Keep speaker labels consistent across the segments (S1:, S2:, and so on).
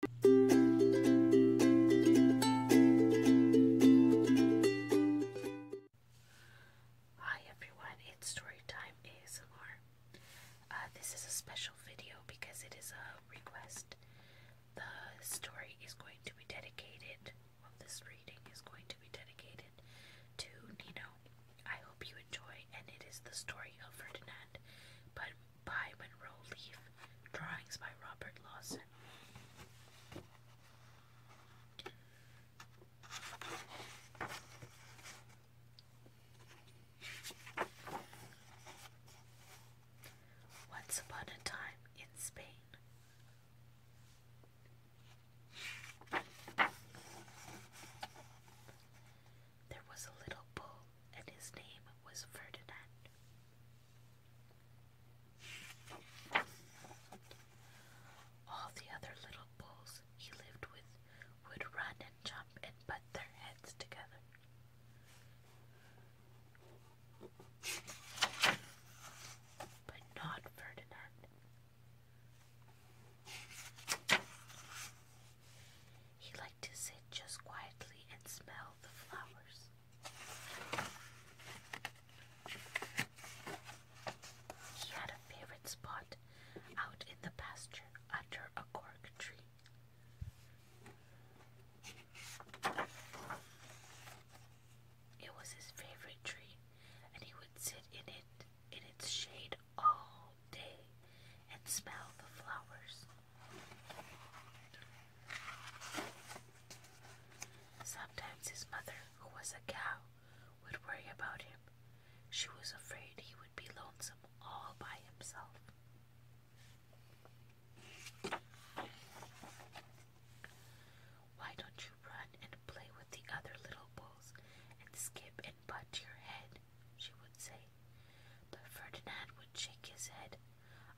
S1: Hi everyone, it's Storytime ASMR. Uh, this is a special video because it is a request. The story is going to be dedicated, this reading is going to be dedicated to Nino. I hope you enjoy and it is the story of Ferdinand, but by Monroe Leaf, drawings by Robert Lawson. Once upon a time in Spain. There was a little bull, and his name was Ferdinand. All the other little bulls he lived with would run and jump and butt their heads together. But not Ferdinand. He liked to sit just quietly and smell the flowers. He had a favorite spot out in the pasture under a cork tree. It was his favorite tree, and he would sit in it in its shade all day and smell the flowers. Sometimes his mother, who was a cow, would worry about him. She was afraid he would be lonesome all by himself. Why don't you run and play with the other little bulls and skip and but your head, she would say. But Ferdinand would shake his head.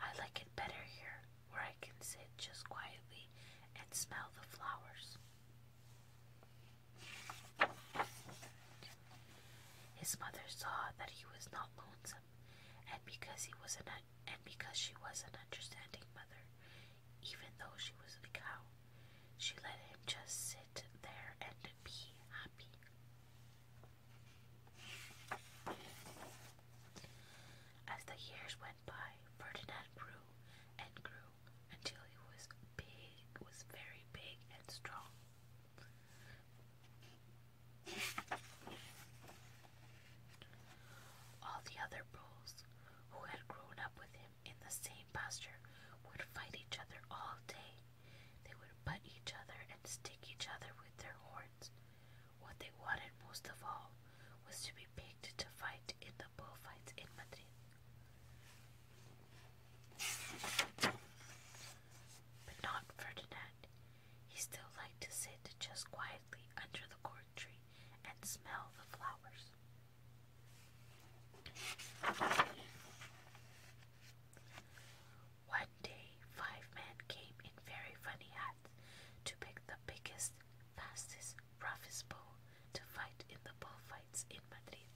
S1: I like it better here, where I can sit just quietly and smell the flowers. His mother saw that he was not lonesome, and because he was an and because she was an understanding mother, even though she was a cow, she let him just sit there and be happy. As the years went by, Ferdinand grew and grew until he was big, was very big and strong. All the other bulls who had grown up with him him in the same posture would fight each other all day. They would butt each other and stick each other with their horns. What they wanted most of all was to be picked to fight in the bullfights in Madrid. But not Ferdinand. He still liked to sit just quietly under the corn and smell the flowers. One day, five men came in very funny hats to pick the biggest, fastest, roughest bull to fight in the bullfights in Madrid.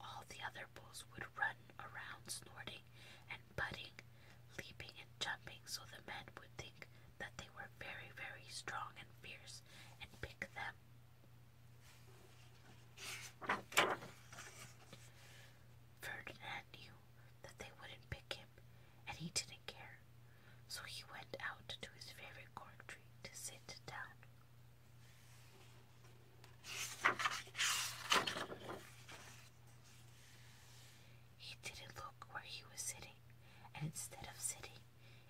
S1: All the other bulls would run around snorting and butting, leaping and jumping, so the men would think that they were very, very strong and fierce and pick them. Ferdinand knew that they wouldn't pick him, and he didn't care, so he went out to his favorite cork tree to sit down. He didn't look where he was sitting, and instead of sitting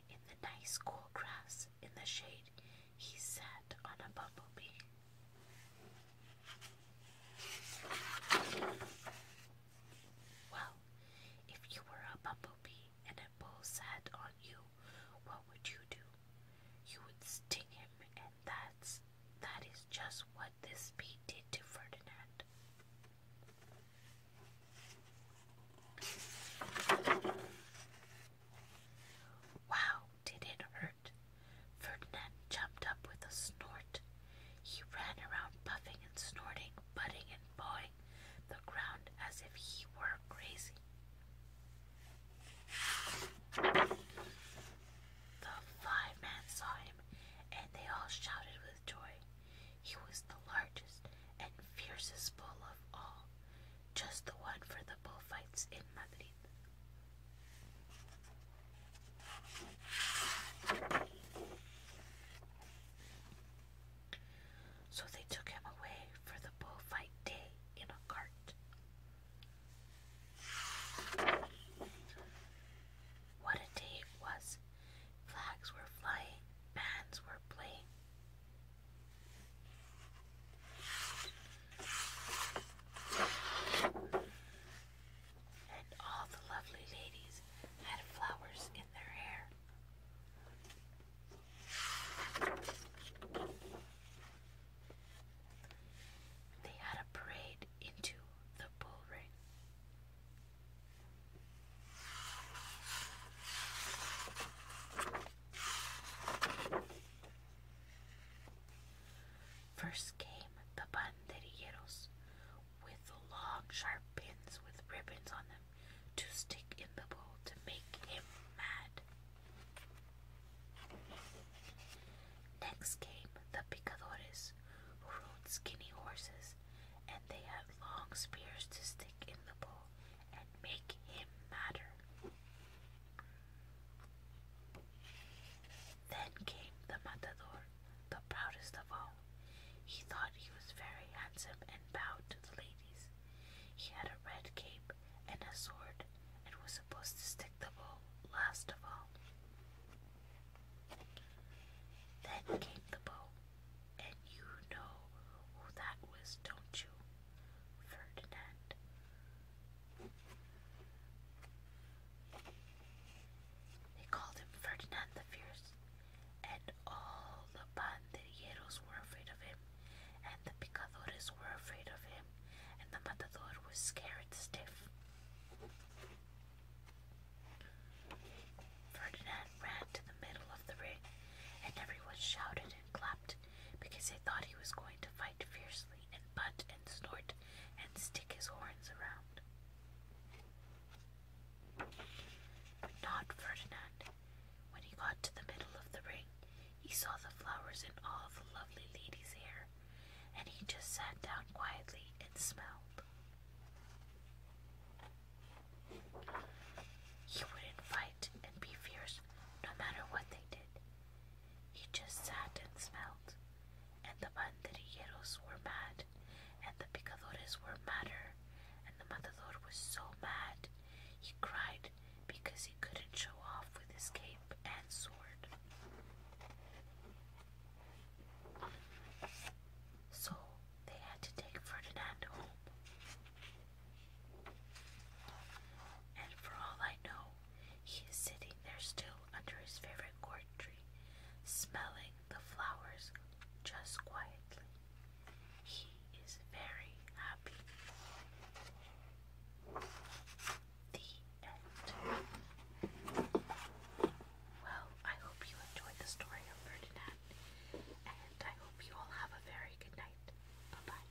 S1: in the nice cool grass in the shade, he sat on a bumblebee. Well, if you were a bumblebee and a bull sat on you, what would you do? You would sting him, and that's that is just what this bee did to Ferdinand. Wow, did it hurt? Ferdinand jumped up with a snort. He ran around puffing and snorting, butting and pawing the ground as if he were crazy. The five men saw him, and they all shouted with joy. He was the largest and fiercest bull of all, just the one for the bullfights in Madrid. So they took him away for the bullfight day in a cart. What a day it was! Flags were flying, bands were playing. And all the lovely ladies had flowers in their hair. They had a parade into the bull First came the banderilleros with the long sharp pins with ribbons on them to stick in the bowl to make him mad. Next came the picadores, who rode skinny horses, and they had long spears to stick in the bowl and make him madder. Then came the matador, the proudest of all, he thought he was very handsome and bowed to the ladies. He had a red cape and a sword and was supposed to stick the bow last of all. Then came the bow, and you know who that was, don't you? Ferdinand. They called him Ferdinand the Fierce, and all the pandilleros were afraid of him, and the picadores were afraid of him, and the matador was scared stiff. Ferdinand ran to the middle of the ring, and everyone shouted and clapped because they thought he was going to fight fiercely and butt and snort and stick his horns around. Not Ferdinand. When he got to the middle of the ring, he saw the flowers in all the lovely ladies' hair, and he just sat down quietly and smelled. He wouldn't fight and be fierce no matter what they did. He just sat and smelled and the banderilleros were mad, and the picadores were madder, and the matador was so mad he cried because he couldn't show off with his cape and sword. So they had to take Ferdinand home. And for all I know, he is sitting there still under his favorite gourd tree, smelling the flowers just quietly. He is very happy. The end. Well, I hope you enjoyed the story of Ferdinand, and I hope you all have a very good night. Bye bye.